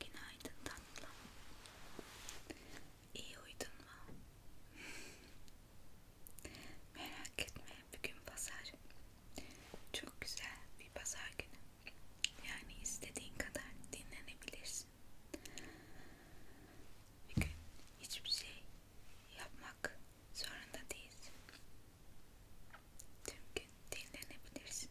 Günaydın tatlım. İyi uyudun mu? Merak etme bugün pazar. Çok güzel bir pazar günü. Yani istediğin kadar dinlenebilirsin. Bugün hiçbir şey yapmak zorunda değilsin. Tüm gün dinlenebilirsin.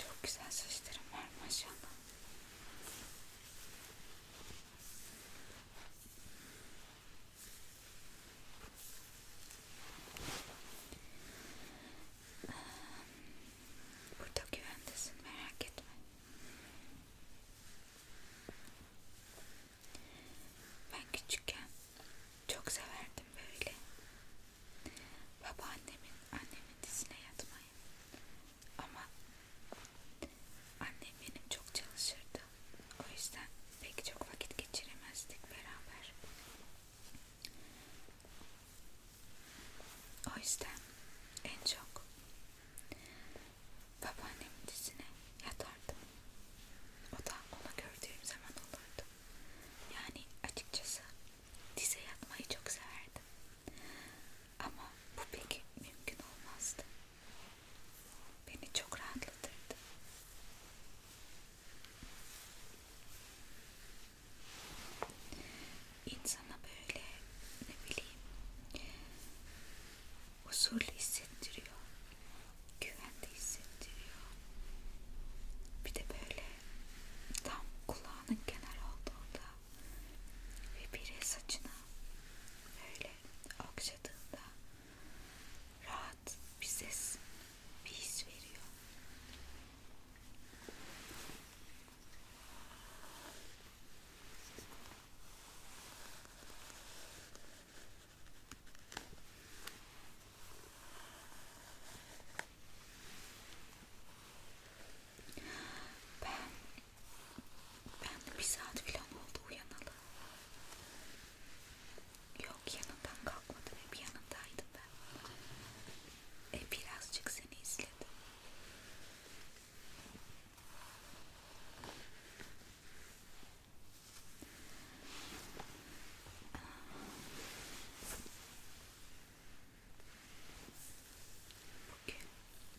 Çok güzel saçlarım var maşallah. Ee, burada güvendesin merak etme. Ben küçükken çok severdim böyle. Babaannemin annemin dizine yatmak kolay ama annem benim çok çalışırdı o yüzden pek çok vakit geçiremezdik beraber o yüzden en çok babaannemin dizine yatardım o da onu gördüğüm zaman olurdu yani açıkçası dize yatmayı çok severdim ama bu pek mümkün olmazdı. Beni çok rahatlatırdı. İnsana böyle ne bileyim huzurlu hissettiriyor. Güvende hissettiriyor. Bir de böyle tam kulağının kenar olduğunda ve biri saçına böyle okşadığında rahat bir ses, bir his veriyor. Ben ben de bir saat falan oldu uyanalı. Yok yanından kalkmadım hep yanındaydım ben. E birazcık seni izledim. Bugün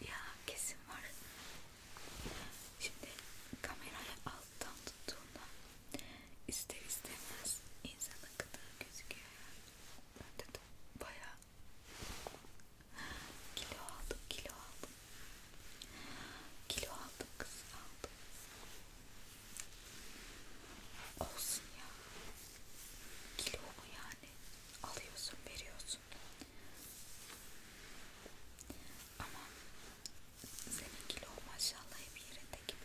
Ya kesin var. Şimdi kamerayı alttan tuttuğunda ister istemez insanın gıdığı gözüküyor. Ben de bayağı kilo aldım, kilo aldım. Kilo aldım kız aldım. Olsun ya. Kilo mu yani? Alıyorsun, veriyorsun. Ama senin kilo maşallah hep yerinde gibi.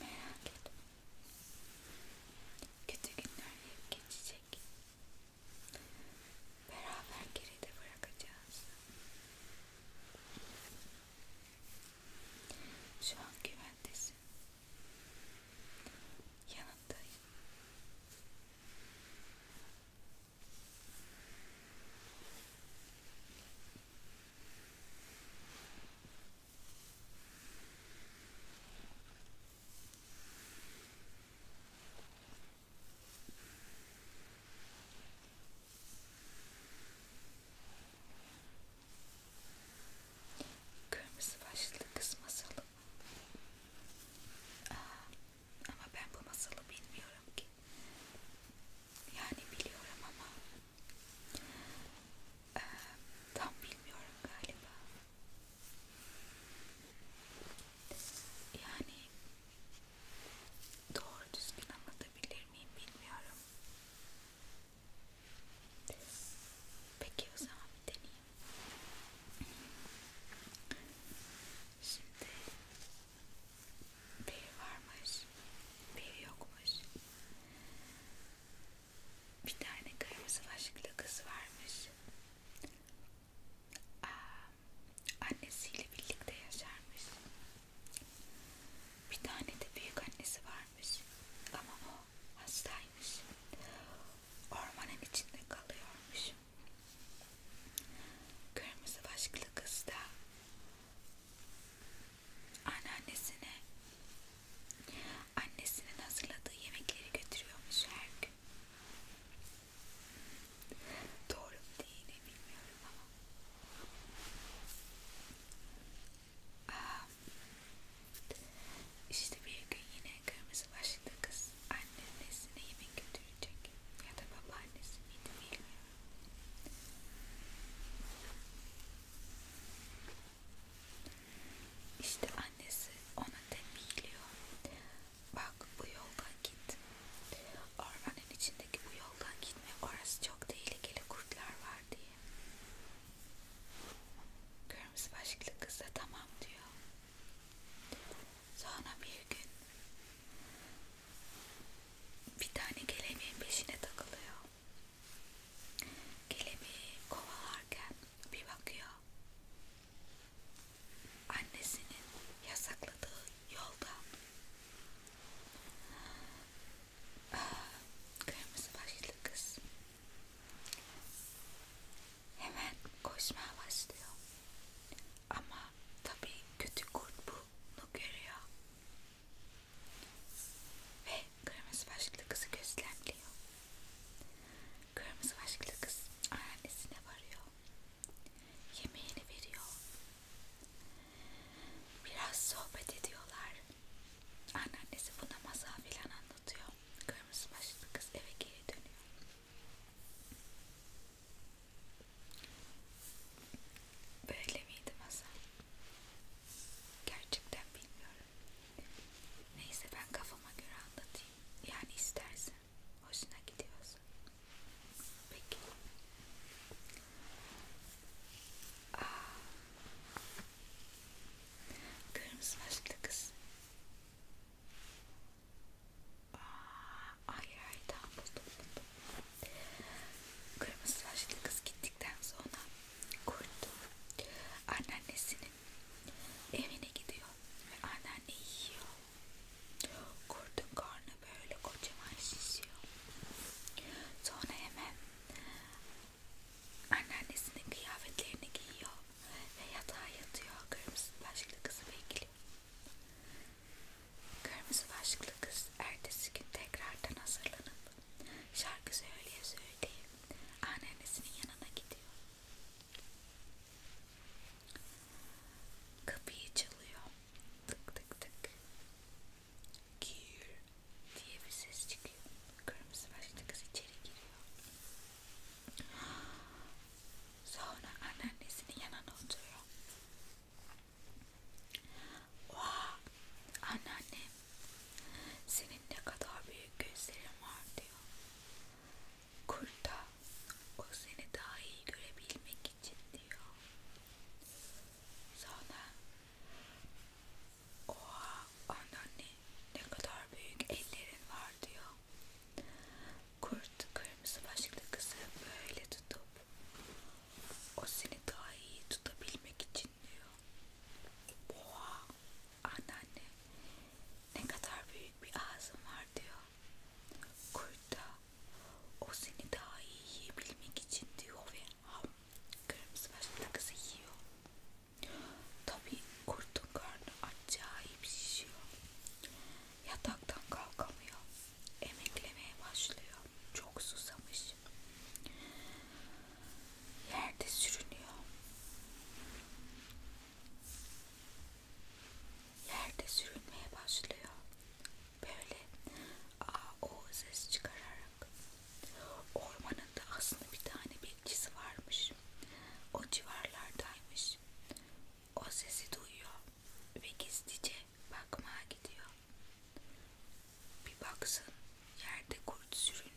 Merak etme. Kötü günler hep geçecek. Beraber geride bırakacağız. Şu an güvendesin. Yanındayım. Kırmızı başlı kız masalı Aa, ama ben bu masalı bilmiyorum ki yani biliyorum ama e, tam bilmiyorum galiba. Yani doğru düzgün anlatabilir miyim bilmiyorum. Peki o zaman bir deneyeyim. Şimdi biri varmış, biri yokmuş bir tane kırmızı başlıklı kız varmış. Aa, annesiyle birlikte yaşarmış. Bir tane de büyük annesi varmış. Ama o hastaymış. Ormanın içinde kalıyormuş. Kırmızı başlıklı kız da anneannesine annesinin hazırladığı yemekleri götürüyormuş her gün. Doğru mu değil mi bilmiyorum ama. Aa, ah, işte bir gün yine kırmızı başlıklı kız annesine yemek götürecek ya da babaannesi miydi bilmiyorum. İşte annesi ona tembihliyor. Bak bu yoldan git. Ormanın içindeki bu yoldan gitme. Orası çok tehlikeli kurtlar var diye. Kırmızı başlıklı kız da tamam diyor. Sonra bir gün bir tane kelebeğin peşine takılıyor. Kelebeği kovalarken bir bakıyor. Annesinin yasakladığı yolda kırmızı başlı kız hemen koşmaya başlıyor. Ama tabii kötü kurt bunu görüyor ve kırmızı başlıklı kızı gözlemliyor. Kırmızı başlıklı kız annesine varıyor. Yemeğini veriyor. Biraz sohbet ediyorlar. Anneannesi buna masal filan anlatıyor. Kırmızı başlıklı kız eve geri dönüyor. Böyle miydi masal? Gerçekten bilmiyorum. Neyse ben kafama göre anlatayım. Yani istersen. Hoşuna gidiyorsa. Peki. Aa, kırmızı başlı kız. Aa, ay ay tamam buldum buldum. Kırmızı başlı kız gitti gittikten sonra kurtul anneannesinin evine gidiyor ve anneanne yiyor. Kurtun karnı böyle kocaman şişiyor. Sonra hemen anneannesinin kıyafetlerini giyiyor ve yatağa yatıyor. Kırmızı başlı kızı bekliyor. Kırmızı başlı kız ertesi gün tekrardan hazırlanıp Şarkı söyleye söyleye anneannesinin yanına gidiyor. Kapıyı çalıyor. Tık tık tık. Gir diye bir ses çıkıyor. Kırmızı başlı kız içeri giriyor. Sonra anneannesinin yanına oturuyor. Oha Anneannem senin ne kadar büyük gözlerin var diyor. Kurta o seni daha iyi görebilmek için diyor. Sonra oha anneanne ne kadar büyük ellerin var diyor. Kurt kırmızı başlıklı kızı böyle tutup o seni daha iyi tutabilmek için diyor. Oha anneanne ne kadar büyük bir ağzın var diyor. Kurt da o seni daha iyi yiyebilmek için diyor ve ham kırmızı başlı kızı yiyor. Tabi kurtun karnı acayip şişiyor. Yataktan kalkamıyor. Emeklemeye başlıyor. Çok susamış. Hayır. Yerde sürünüyor. Yerde sürünmeye başlıyor. Böyle a o ses çıkararak. Ormanın da aslında bir tane bekçisi varmış. O civarlardaymış. O sesi duyuyor ve gizlice bakmaya gidiyor. Bir baksın yerde kurt sürünüyor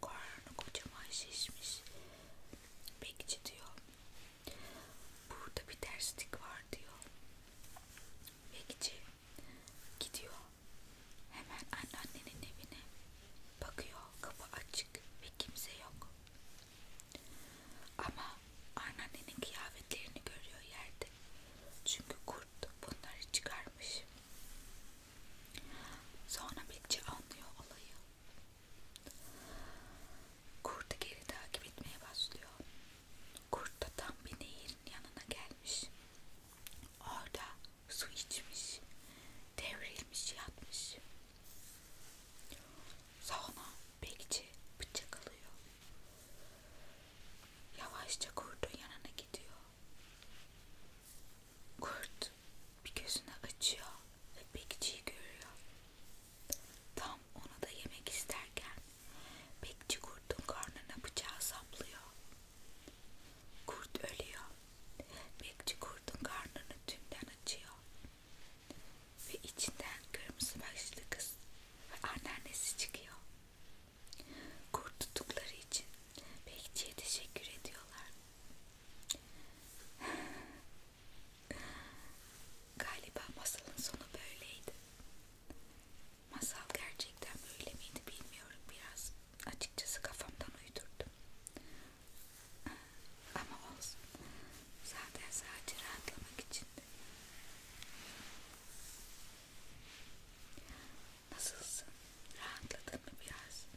karnı kocaman şişmiş. Bekçi diyor. Burada bir terslik var diyor. Bekçi gidiyor. Hemen anneannenin evine bakıyor. Kapı açık ve kimse yok. Ama anneannenin kıyafetlerini görüyor yerde. Çünkü kurt bunları çıkarmış. Sonra bekçi anlıyor olayı. Kurtu geri takip etmeye başlıyor. Kurt da tam bir nehirin yanına gelmiş. Orada su içmiş, devrilmiş, yatmış. Sonra bekçi bıçak alıyor. Yavaşça kurdun yanına gidiyor. Kurt bir gözünü açıyor ve bekçiyi görüyor. Tam ona da yemek isterken bekçi kurtun karnına bıçağı saplıyor. Kurt ölüyor. Bekçi kurtun karnını tümden açıyor. Ve içinden kırmızı başlı kız ve anneannesi çıkıyor. Kurt tuttukları için Bekçiye teşekkür ediyorlar. Galiba masalın sonu böyleydi. Masal gerçekten böyle miydi bilmiyorum biraz. Açıkçası kafamdan uydurdum. Ama olsun. Zaten sadece rahatlamak içindi. Nasılsın? Rahatladın mı biraz?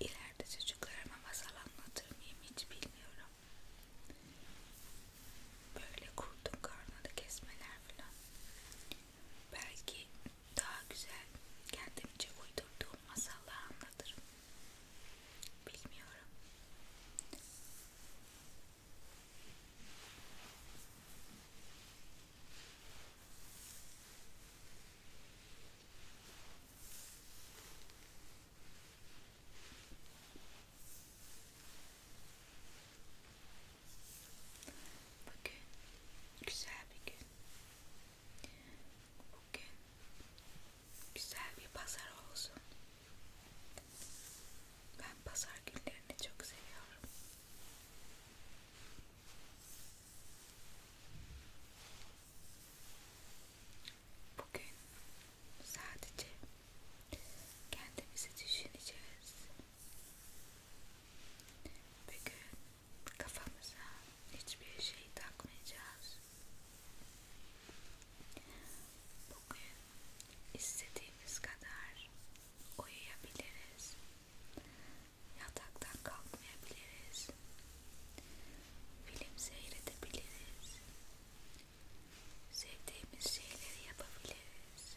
İleride çocuklarıma masal anlatır mıyım hiç bilmiyorum. Böyle kurdun karnını kesmeler falan. Belki daha güzel kendimce uydurduğum masallar anlatırım. Bilmiyorum. Bugün güzel bir gün. Bugün güzel bir pazar olsun. Ben pazar günlerini çok seviyorum. Bugün sadece kendimizi düşüneceğiz. Bugün kafamıza hiçbir şey takmayacağız. Bugün istediğimiz kadar uyuyabiliriz. Yataktan kalkmayabiliriz. Film seyredebiliriz. Sevdiğimiz şeyleri yapabiliriz.